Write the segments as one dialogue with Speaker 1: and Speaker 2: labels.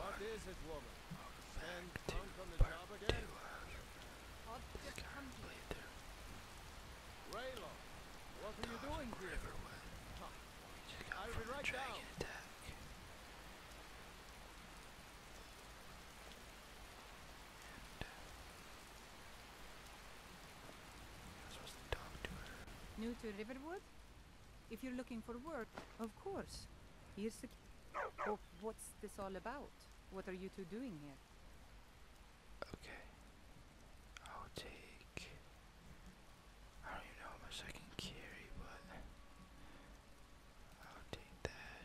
Speaker 1: What is it, woman? Welcome back to from the job again? two of this current playthrough. what are you doing here? Riverwood. got a dragon attack.
Speaker 2: New to Riverwood? If you're looking for work, of course. Here's the. Oh, what's this all about? What are you two doing here?
Speaker 1: Okay. I'll take. I don't even know how much I can carry, but. I'll take that.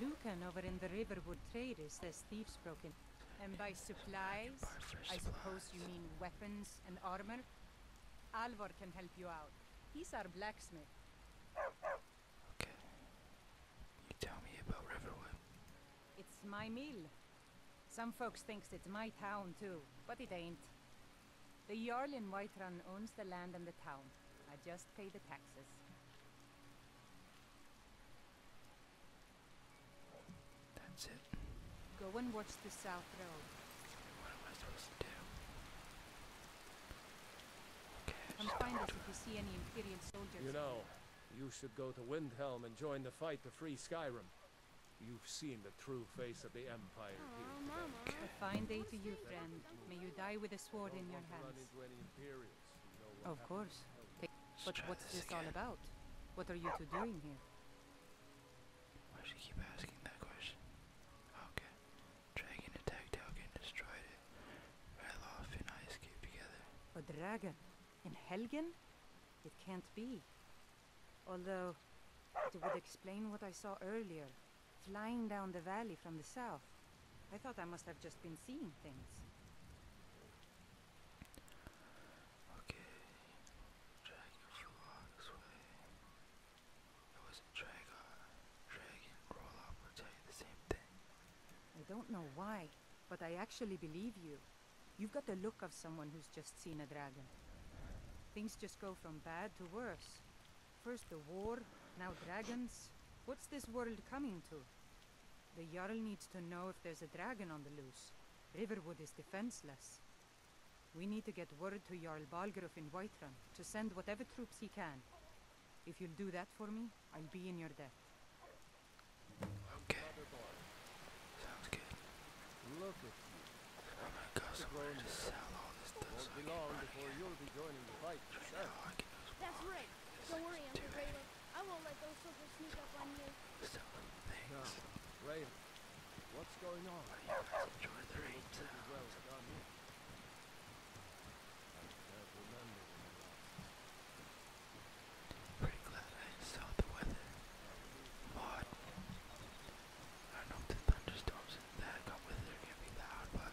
Speaker 2: Lucan over in the Riverwood Traders says thieves broken. And by supplies, I suppose you mean weapons and armor? Alvar can help you out. He's our blacksmith. Okay.
Speaker 1: You tell me about Riverwood.
Speaker 2: It's my mill. Some folks thinks it's my town too, but it ain't. The Jarl in White Run owns the land and the town. I just pay the taxes. That's it. Go and watch the South Road. What am I supposed to do? Okay, us if you see any Imperial soldiers. You
Speaker 1: know, you should go to Windhelm and join the fight to free Skyrim. You've seen the true face of the Empire
Speaker 2: here. Today. A fine day to you, friend. May you die with a sword in your hands. Of course. but what's this, all about? What are you two doing here?
Speaker 1: Why should she keep asking that question?
Speaker 2: Okay. Dragon attacked Helgen, destroyed it. Fell and I escaped together. A dragon? in Helgen? It can't be. Although, it would explain what I saw earlier. Flying down the valley from the south. I thought I must have just been seeing things.
Speaker 1: Okay. It was a dragon. Dragon roll-up will tell you the same thing.
Speaker 2: I don't know why, but I actually believe you. You've got the look of someone who's just seen a dragon. Things just go from bad to worse. First the war, now dragons. What's this world coming to? The Jarl needs to know if there's a dragon on the loose. Riverwood is defenseless. We need to get word to Jarl Balgruf in Whiterun to send whatever troops he can. If you'll do that for me, I'll be in your debt.
Speaker 1: Okay. Sounds good. Look at you. I'm gonna go somewhere and sell all this stuff so I can buy it. Right now, I can just That's right. Don't worry, i I won't let those suckers sneak up on you. So, thanks. No. Raven, what's going on? I oh, the rain sounds. glad I saw the weather. Odd. I know the thunderstorms that got with it are be loud, but...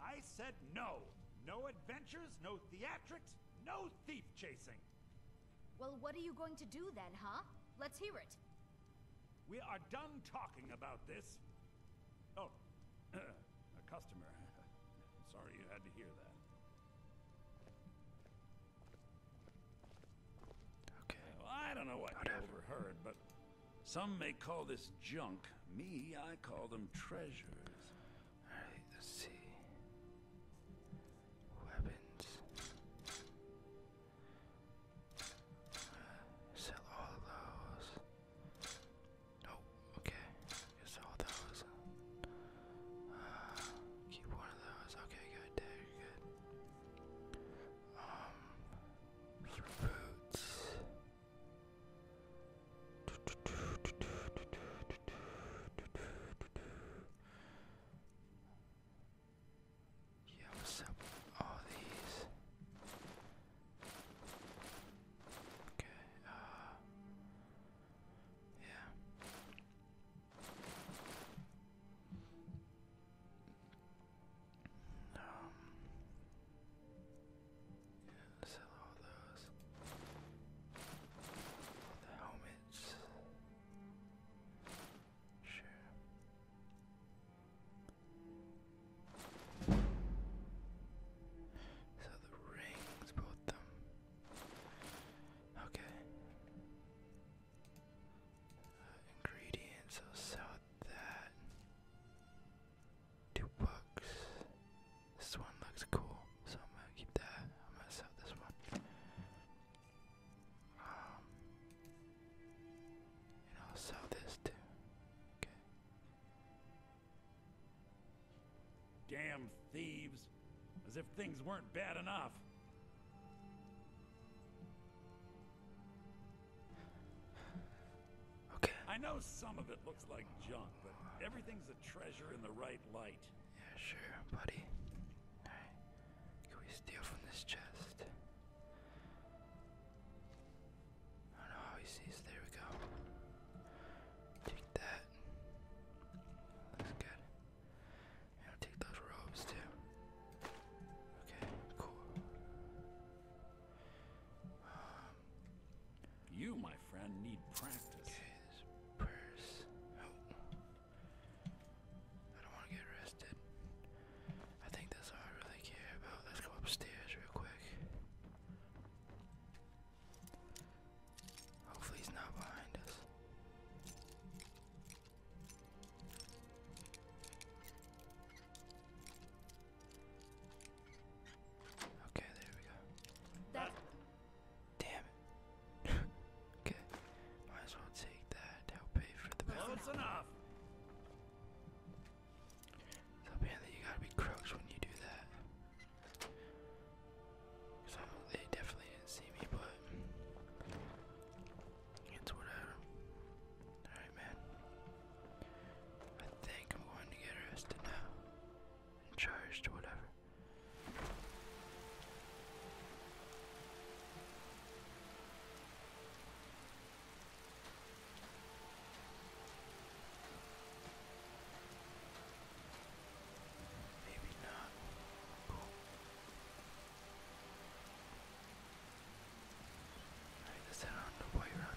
Speaker 1: I said no. No adventures, no theatrics, no thief chasing. Well, what are you going to do then, huh? Let's hear it. We are done talking about this. Oh, a customer. Sorry you had to hear that. Okay. I don't know what Whatever. overheard, but some may call this junk. Me, I call them treasures. Alright, let's see. Weapons. Uh, sell all those. Oh, uh, okay. Guess those. keep one of those. Okay, good. There, good. Um, for yeah, what's up all these? Okay, uh yeah. Um yeah, sell all those. helmets. Sure. So the rings, both them. Okay. Uh, ingredients, I'll sell that two books. This one looks cool, so I'm gonna keep that. I'm gonna sell this one. Um, and I'll sell this too. Damn thieves! As if things weren't bad enough. I know some of it looks like junk, but everything's a treasure in the right light. Yeah, sure, buddy. Can we steal from this chest? I don't know how he sees. There we go. Take that. Looks good. And take those robes too. Okay, cool. Um, you, my friend, need practice. Okay, this purse. Oh. I don't want to get arrested. I think that's all I really care about. Let's go upstairs real quick. Hopefully he's not behind us. Okay, there we go. That's Damn it. okay, might as well take that. I'll for the Close enough. So apparently you gotta be crooks when you do that. So they definitely didn't see me, but it's whatever. Alright man. I think I'm going to get arrested now charged, whatever. Maybe not. Cool. let's head on the boy run.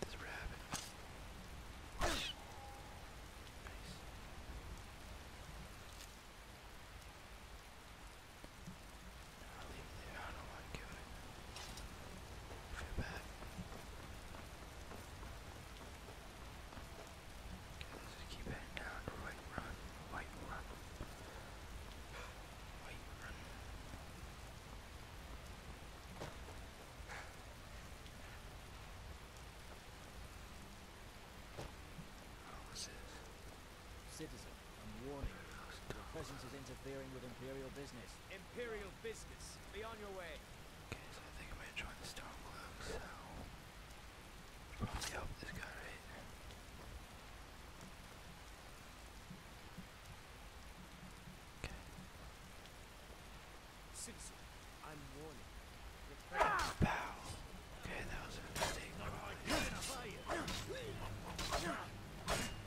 Speaker 1: get this rabbit. nice. I'll leave it there. I don't want to kill it. I feel bad. Okay, let's just keep heading down to right run. White run. White run. Oh, what's this? Citizen, I'm warning you. Your presence is interfering with Imperial business. Imperial business! Be on your way! Okay, so I think I'm gonna join the Storm Club, so... Probably help this guy right here. Okay. Citizen, I'm warning you. Ah! Pow! Okay, that was a mistake. Probably.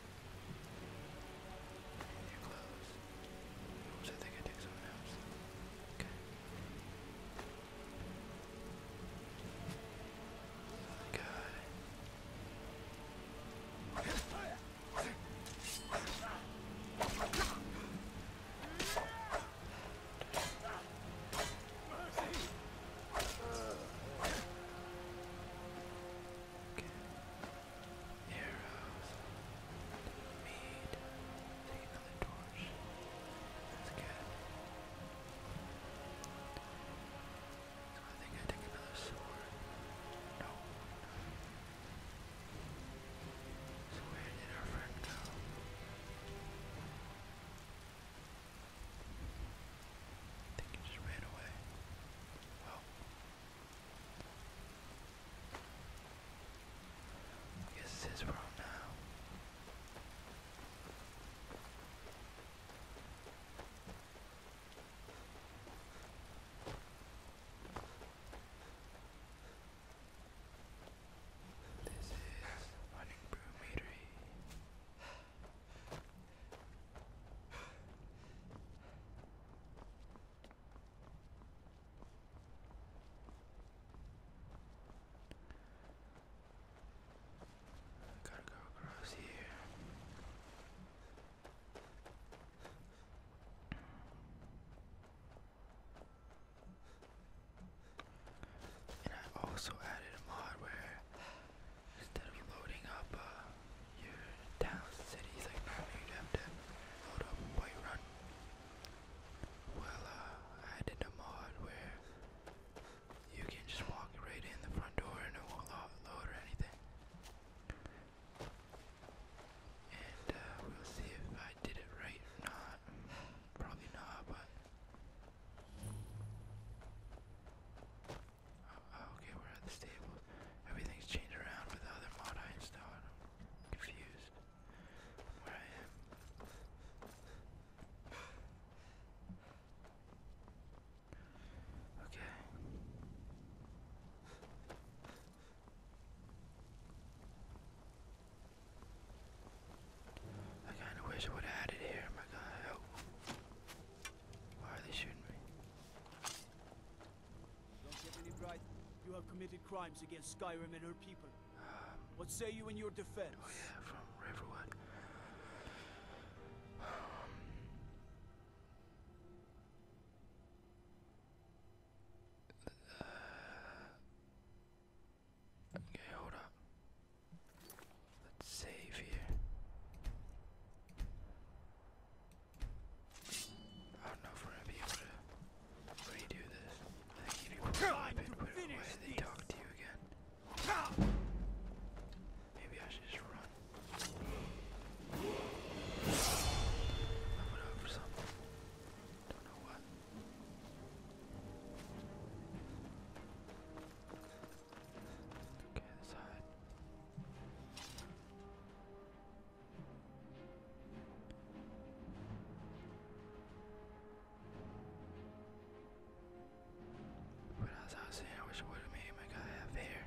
Speaker 1: And your clothes. Oops, I think I took something else. Okay. Another guy. Okay arrows, mead, take another torch, let's get, so I think I take another sword, no, so where did our friend go? I think he just ran away this is his room now. This is running brewery. Gotta go across here. And I also added a hardware instead of loading up uh, your town, cities, like normally you'd have to load up and white run. Well, uh, I did a mod where you can just walk right in the front door and it won't load or anything. And uh, we'll see if I did it right or not. Probably not, but. Oh, okay, we're at the stables. Everything's changed around with the other mod I installed. I'm confused where I am. Okay. I kinda wish I would have added here, my god Why are they shooting me? Don't get any bright. You have committed crimes against Skyrim and her people. What say you in your defense? Oh yeah, from Riverwood. okay, hold up. Let's save here. I don't know if we're gonna be able to redo this. I think you it, away. They talk to you again. Maybe I should just run. I'm going for something. Don't know what. Okay, the side. But I was saying, I wish I would have made my guy have hair.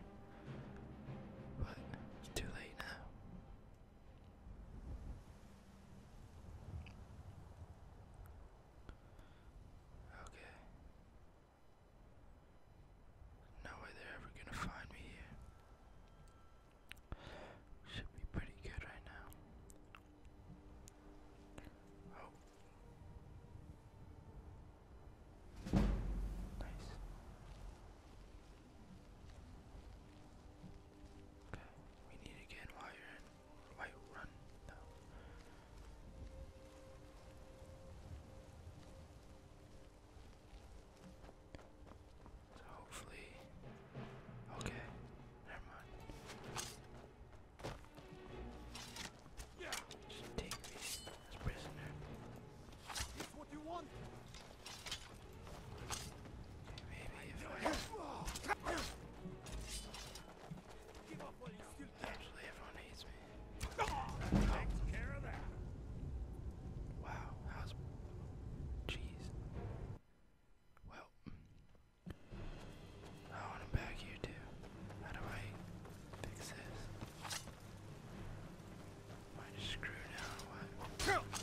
Speaker 1: But it's too late now. Okay. No way they're ever gonna find me here. Should be pretty good right now. Oh. Nice. Okay, we need to get in while run, though. So hopefully,
Speaker 2: okay, never mind. Just take me as prisoner. It's what you want. maybe if I Actually, everyone hates me. Take care
Speaker 1: of that. Wow, how's jeez. Well I want him back here too. How do I fix this? Am just screwed now or I don't want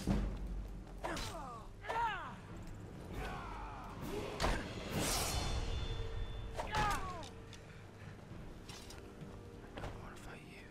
Speaker 1: to fight you.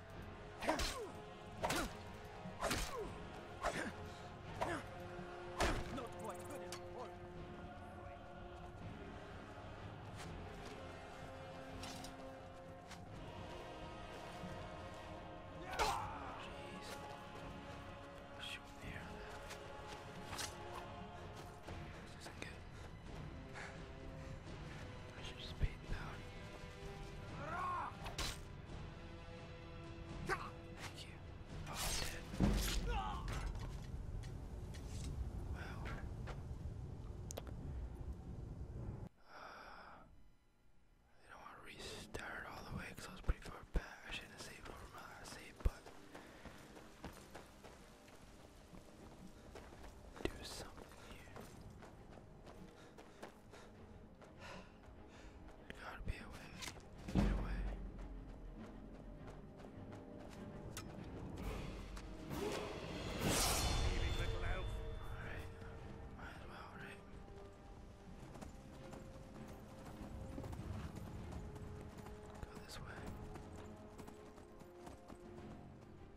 Speaker 1: Jeez. Shoot there. This isn't good. I should just beat down. Thank you. Oh, dead. Well. Uh, I don't want to restart all the way because I was pretty far back. I shouldn't have over my last save, but do something here. There gotta be a way. Get away. Alright, um, might as well, right? Go this way. Yeah, I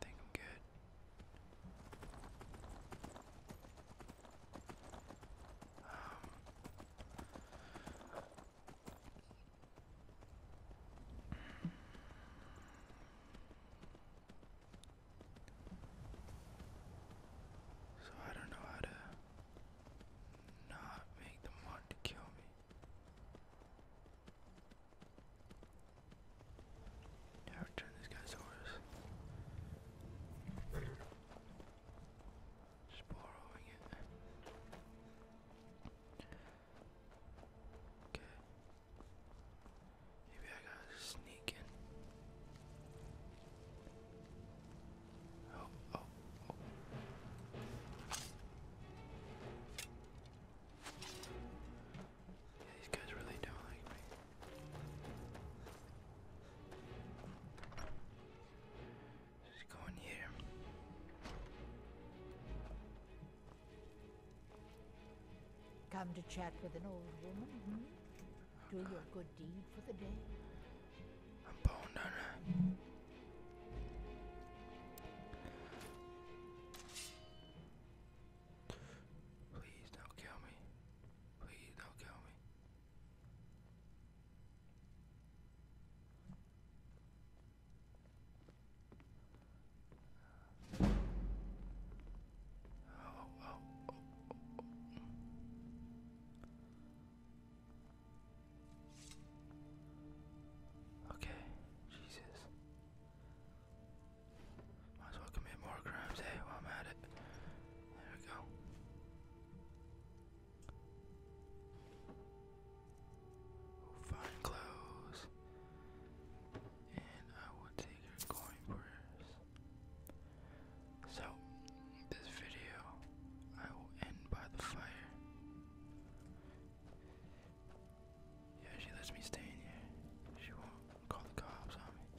Speaker 1: think I'm good. Um, so I don't know how to not make them want kill me. Yeah, return this guy's horse. Just borrowing it. Okay. Maybe I gotta sneak in. Oh, oh, oh. Yeah, these guys really don't like me. Just go in here. Come to chat with an old woman, hmm? Do your good deed for the day. Please don't kill me. Please don't kill me. Okay, Jesus. Might as well commit more crimes, hey, eh, while I'm at it. There we go. Find clothes, and I will take your coin prayers. So, this video I will end by the fire. Yeah, she lets me stay in here. She won't call the cops on me.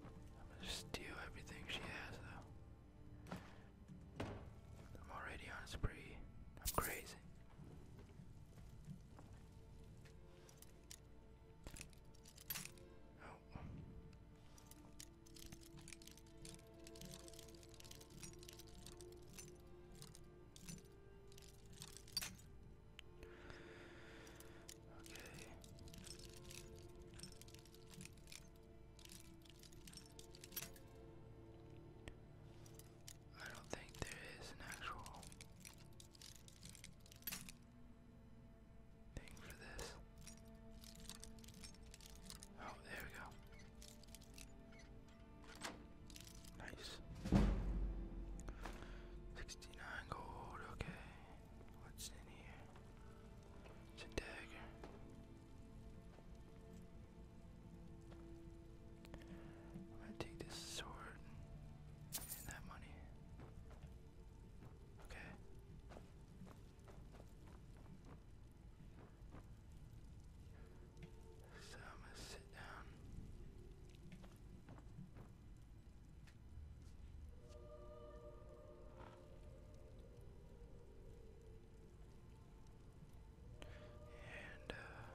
Speaker 1: I'm gonna steal everything she has, though. I'm already on a spree. I'm crazy. Oh. Okay. I don't think there is an actual thing for this. Oh, there we go. Nice. 69 gold, okay. What's in here? a dagger. I'm gonna take this sword and that money. Okay. So I'm gonna sit down. And uh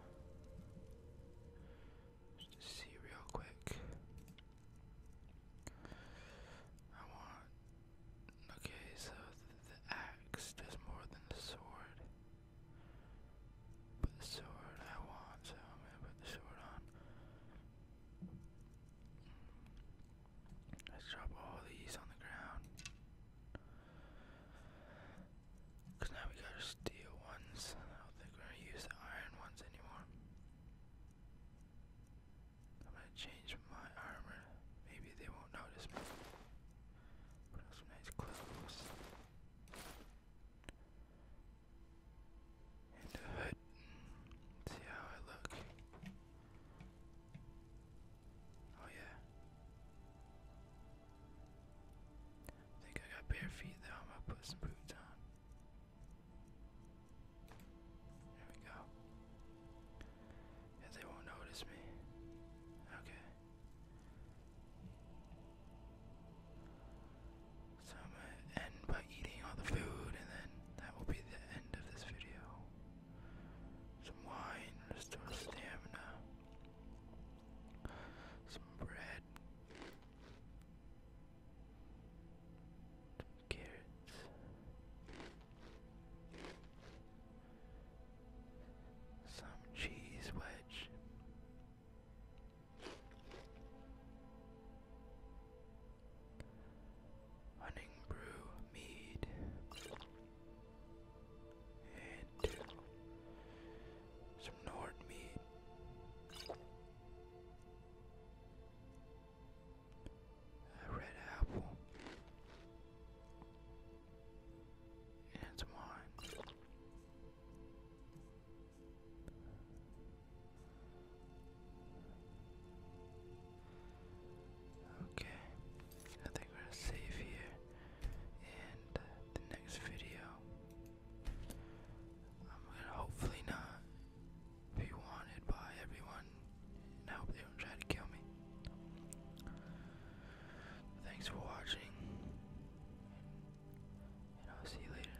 Speaker 1: just to see real quick. I want okay, so the axe does more than the sword. But the sword I want, so I'm gonna put the sword on. Let's drop all these on the ground. Because now we got steel ones. I don't think we're going to use the iron ones anymore. I'm going to change my armor. Maybe they won't notice me. Put on some nice clothes. And a hood. See how I look. Oh, yeah. I think I got bare feet though. I'm gonna put some boots on. There we go. Yeah, they won't notice me. Okay. So I'm gonna end by eating all the food, and then that will be the end of this video. Some wine, restore stamina some bread, carrots, some cheese wedge. Hunting brew mead and some Nord meat. A red apple and some wine. Okay, I think we're safe here and uh, the next video I'm gonna hopefully not be wanted by everyone and hope they don't try to kill me. Thanks for watching and I'll see you later.